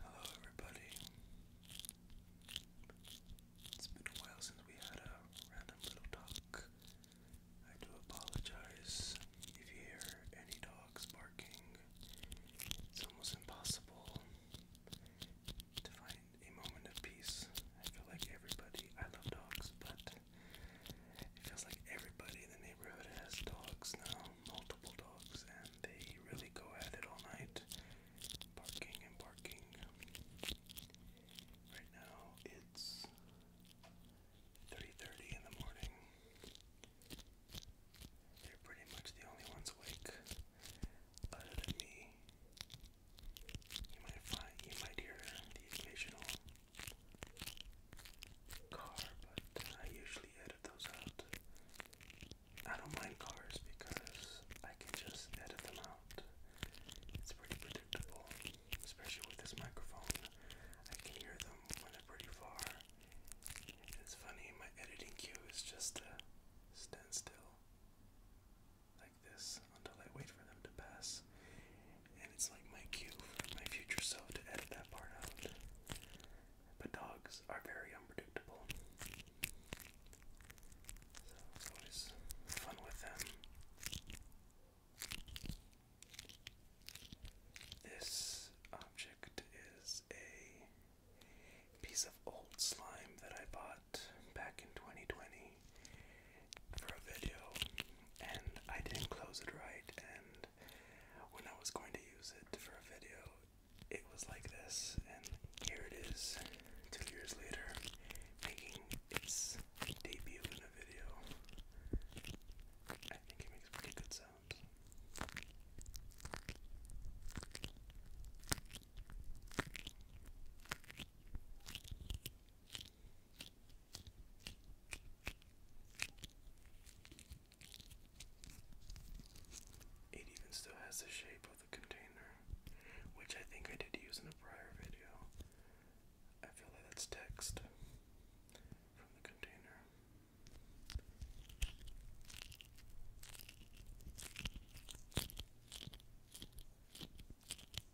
Hello, everybody. It's been a while since we had a random little talk. I do apologize if you hear any dogs barking. It's almost impossible to find a moment of peace. I feel like everybody, I love dogs, but it feels like everybody in the neighborhood has dogs now, multiple dogs, and they really go at it all night, barking and barking. Right now it's 3:30 in the morning. They're pretty much the only ones awake, other than me. You might find you might hear the occasional car, but I usually edit those out. I don't mind cars because I can just edit them out. It's pretty predictable, especially with this microphone. I can hear them when they're pretty far. It's funny, my editing cue is just to stand still like this until I wait for them to pass. And it's like my cue for my future self to edit that part out. But dogs are very unpredictable. So it's always fun with them. This object is a piece of old slime that I bought back in 2020 for a video and I didn't close it right and when I was going to use it for a video it was like this and here it is two years later making its debut in a video. I think it makes pretty good sounds. It even still has the shape of the container, which I think I did use in a prior video. I feel like that's text from the container.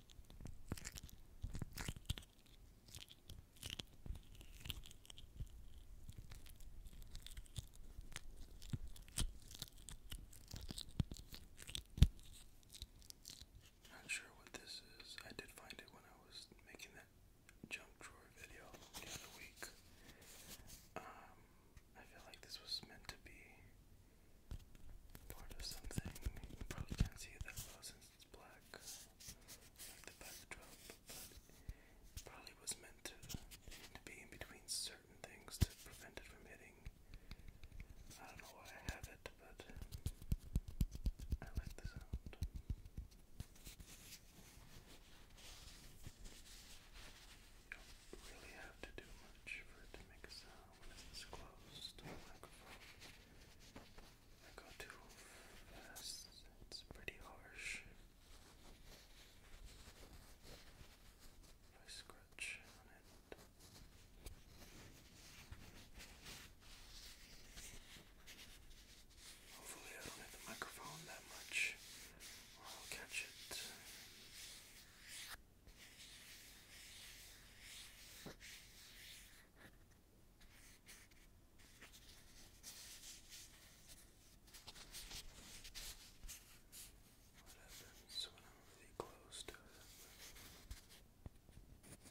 Not sure what this is. I did find it when I was making that junk drawer video the other week. Um, I feel like this was meant to be part of something. You probably can't see that well since it's black, like the backdrop, but it probably was meant to, be in between certain things to prevent it from hitting. I don't know why I have it, but I like the sound. You don't really have to do much for it to make a sound. I go too fast, it's pretty harsh. If I scratch on it. Hopefully, I don't hit the microphone that much, or I'll catch it. What happens when I'm really close to it? All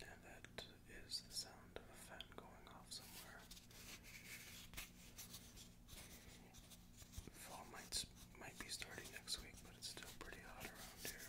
And that is the sound of a fan going off somewhere. Fall might might be starting next week, but it's still pretty hot around here.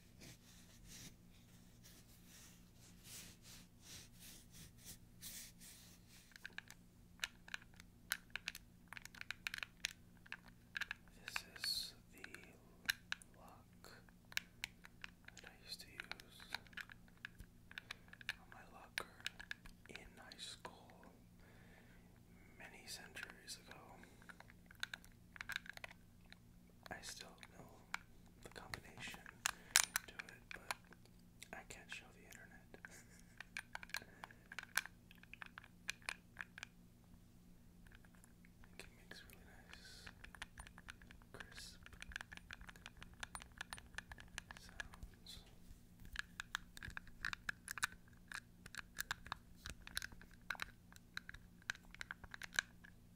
This is the lock that I used to use on my locker in high school many centuries ago. I still know the combination to it, but I can't show the internet. it makes really nice, crisp sounds.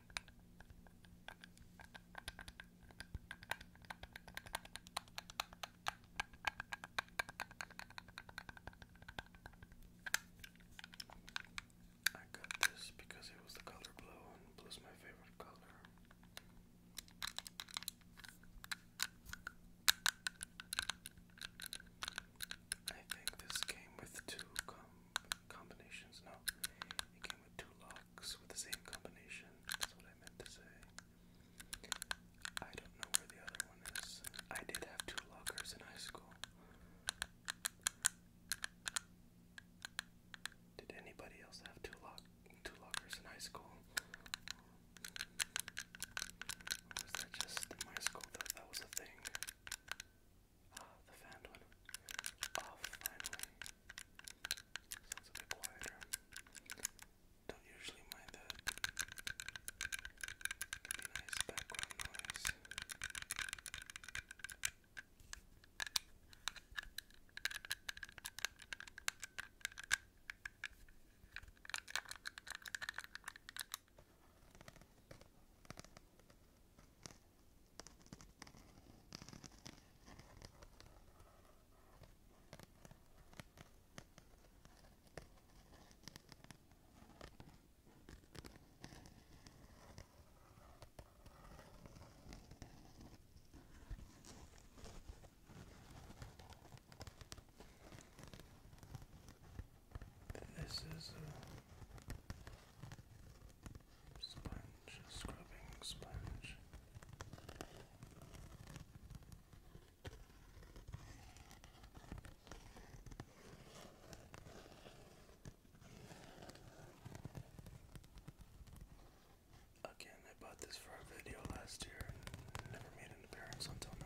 I got this because it was the color blue, and blue's my favorite color. I think this came with two combinations. No, it came with two locks with the same combination. That's what I meant to say. I don't know where the other one is. I did have two lockers in high school. Did anybody else have two lock two lockers in high school? was that just my school that that was a thing? Ah, the fan one. Oh, finally. Sounds a bit quieter. Don't usually mind that. Can be nice background noise. This is a Sponge, scrubbing sponge. Again, I bought this for a video last year and never made an appearance until now.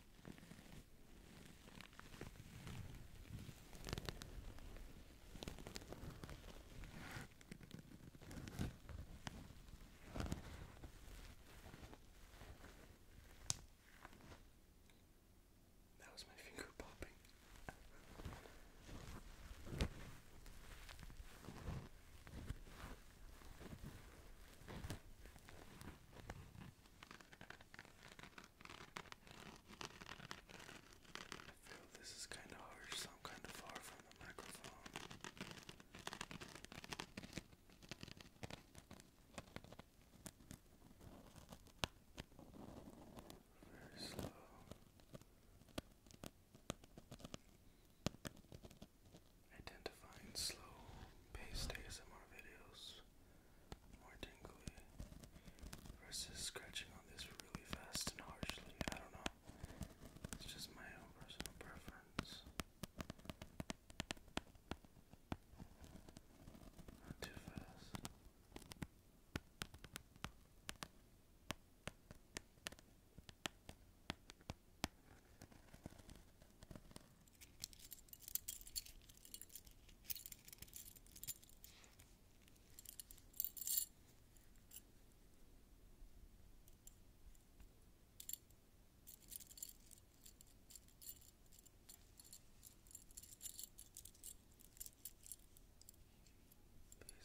That was my finger popping. I feel this is kind of harsh, so I'm kind of far from the microphone. Very slow. I slow paced ASMR videos more tingly versus scratching on this really fast and harshly. I don't know. It's just my own personal preference. Not too fast. These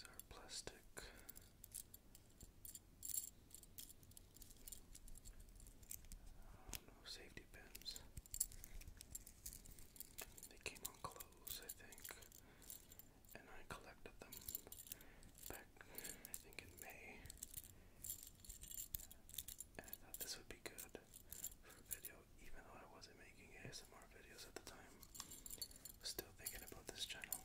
are plastic. safety pins. They came on clothes, I think, and I collected them back, I think, in May. I thought this would be good for a video, even though I wasn't making ASMR videos at the time. still thinking about this channel.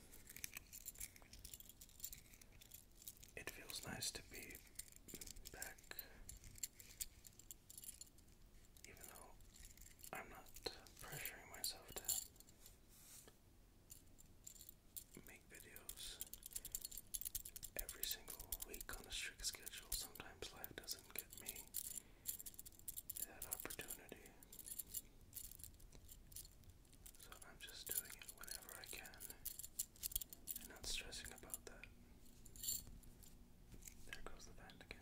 It feels nice to be back even though I'm not pressuring myself to make videos every single week on a strict schedule. Sometimes life doesn't get me that opportunity. So I'm just doing it whenever I can and not stressing about that. There goes the vent again.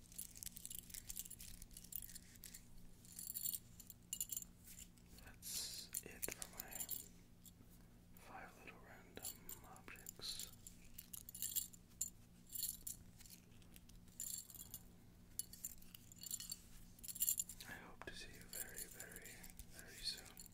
That's it for my five little random objects. I hope to see you very, very, very soon.